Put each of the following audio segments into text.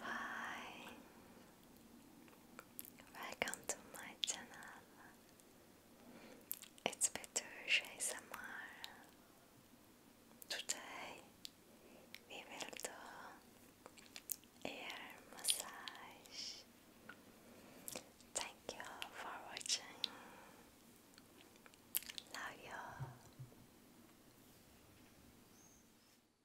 Hi, welcome to my channel. It's Petrush ASMR. Today we will do ear massage. Thank you for watching. Love you.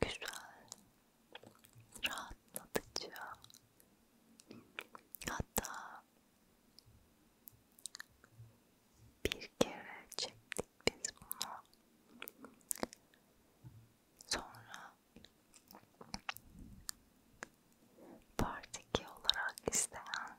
Güzel, rahatlatıcı, hatta bir kere çektik biz bunu. Sonra Part 2 olarak isteyen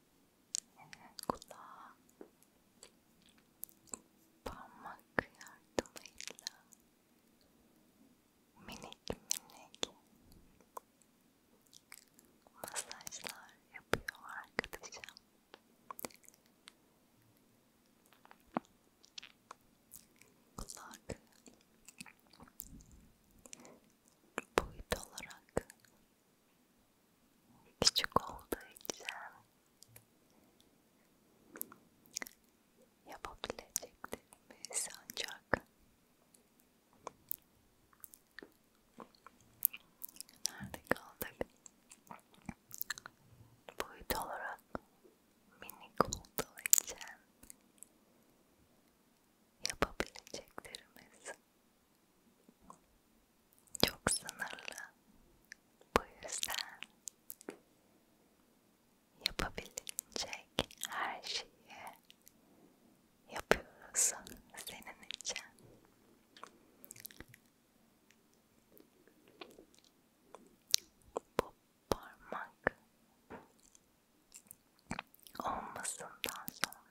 kulağa parmak yardımıyla minik minik masajlar yapıyor arkadaşım. Kulak boyut olarak küçük olduğu için yapabileceklerimiz ancak nerede kaldık? Boyut olarak minik olduğu için yapabileceklerimiz çok sınırlı. Bu yüzden yapabilecek her şeyi yapıyoruz senin için. Bu parmak olmasından sonra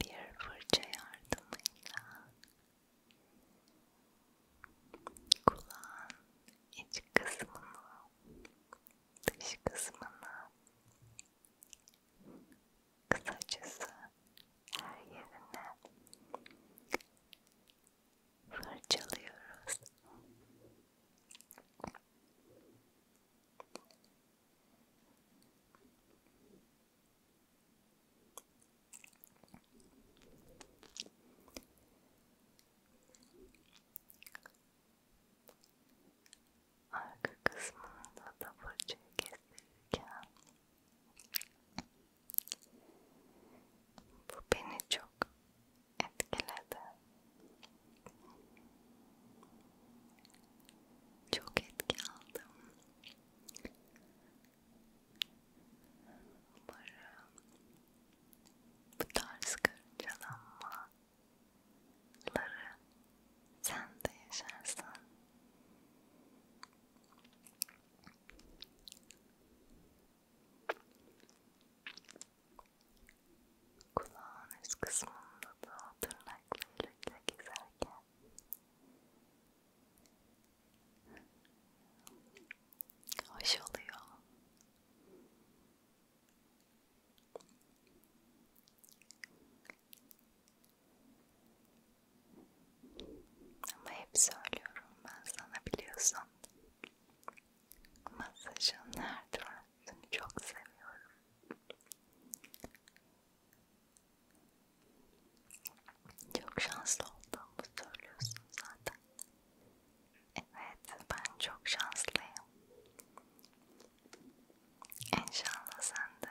bir fırça yardımıyla kulağın iç kısmını, dış kısmını, kısacası her yerine fırçalıyoruz. Arka kısmında da fırçayı kestirirken bu beni çok etkiledi. Çok etki aldım. Umarım bu tarz kırcalanmaları sen de yaşarsan Kulağın üst kısmında da tırnaklarıyla gezerken hoş oluyor. Ama hep söylüyorum ben sana biliyorsun Masajın her türlüsünü çok seviyorum. Çok şanslı olduğumu söylüyorsun zaten. Evet, ben çok şanslıyım. İnşallah sen de.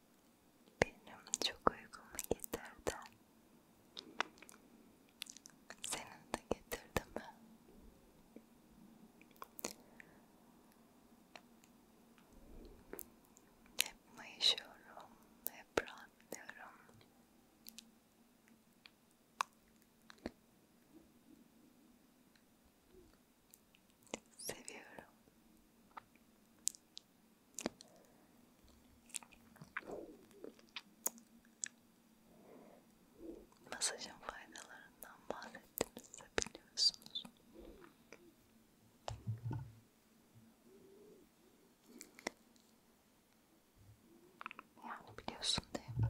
Benim çok uykumu getirdi. Senin de getirdi mi? Hep mayışıyorum, hep rahatlıyorum. Seviyorum. Masajın faydalarından bahsettim size biliyorsunuz. Yani biliyorsun değil mi?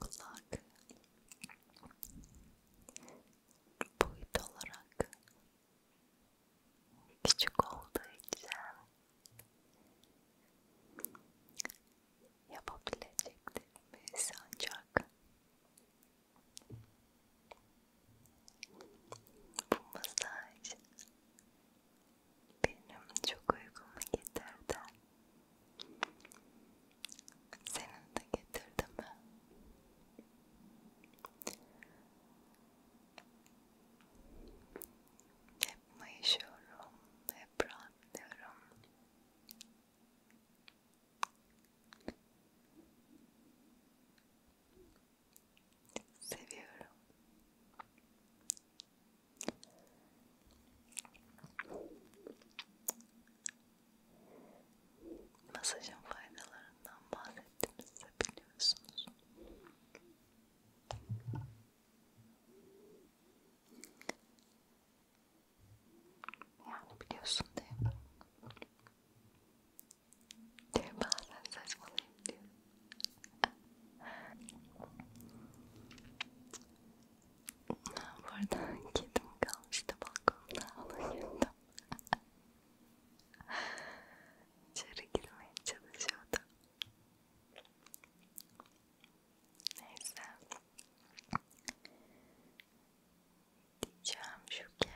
Kulak boyut olarak küçük olduğu için yapabileceklerimiz ancak bu masaj benim çok uykumu getirdi. Senin de getirdi mi? Hep mayışıyorum, hep rahatlıyorum. Seviyorum. Masajın faydalarından bahsettim size biliyorsunuz. Yani biliyorsun değil mi? diye bazen saçmalayıp diyorum. Bu arada kedim kalmıştı balkonda, onu yedim. İçeri girmeye çalışıyordu. Neyse. Diyeceğim şu ki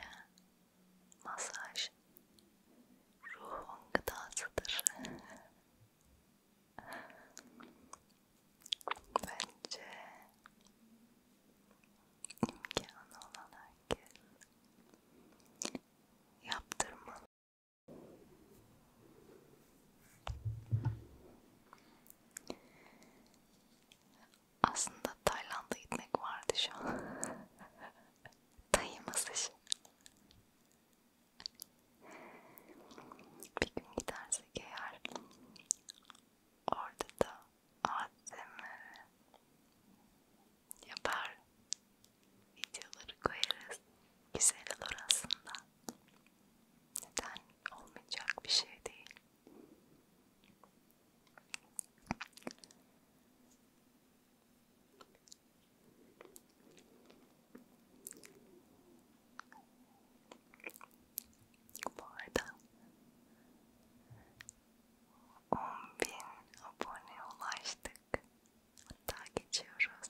Masaj ruhun gıdasıdır. Bence imkanı olan herkes yaptırmalı. Aslında Tayland'a gitmek vardı şu an. Tayı masajı. Bir gün gidersek eğer orada da ASMR yapar videoları koyarız. Güzel olur aslında. Neden olmayacak bir şey değil. Bu arada 10.000 aboneye ulaştık. Hatta geçiyoruz.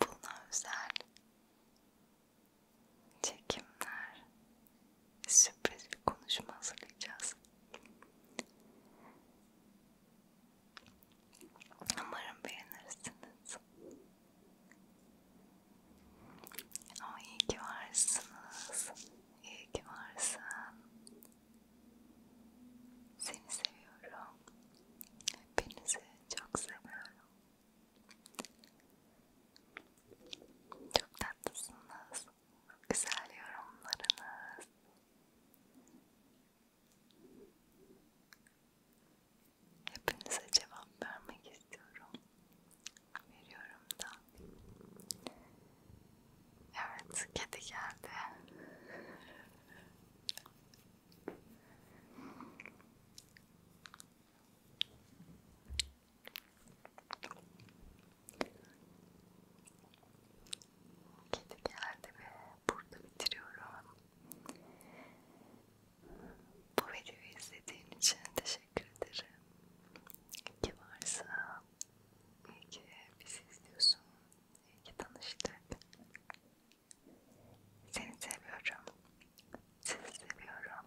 Buna özel çekimler, sürpriz bir konuşma hazırlayacağız. Umarım beğenirsiniz. Ama iyi ki varsınız. İyi ki varsın. Seni seviyorum. Hepinizi çok seviyorum. Çok tatlısınız. Güzel yorumlarınız. Hepinize cevap vermek istiyorum. Veriyorum da. Evet, kedi geldi. Kedi geldi ve burada bitiriyorum. Bu videoyu izlediğin için teşekkür ederim. İyi varsa, iyi ki bizi izliyorsun, iyi ki tanıştık. Seni seviyorum, sizi seviyorum.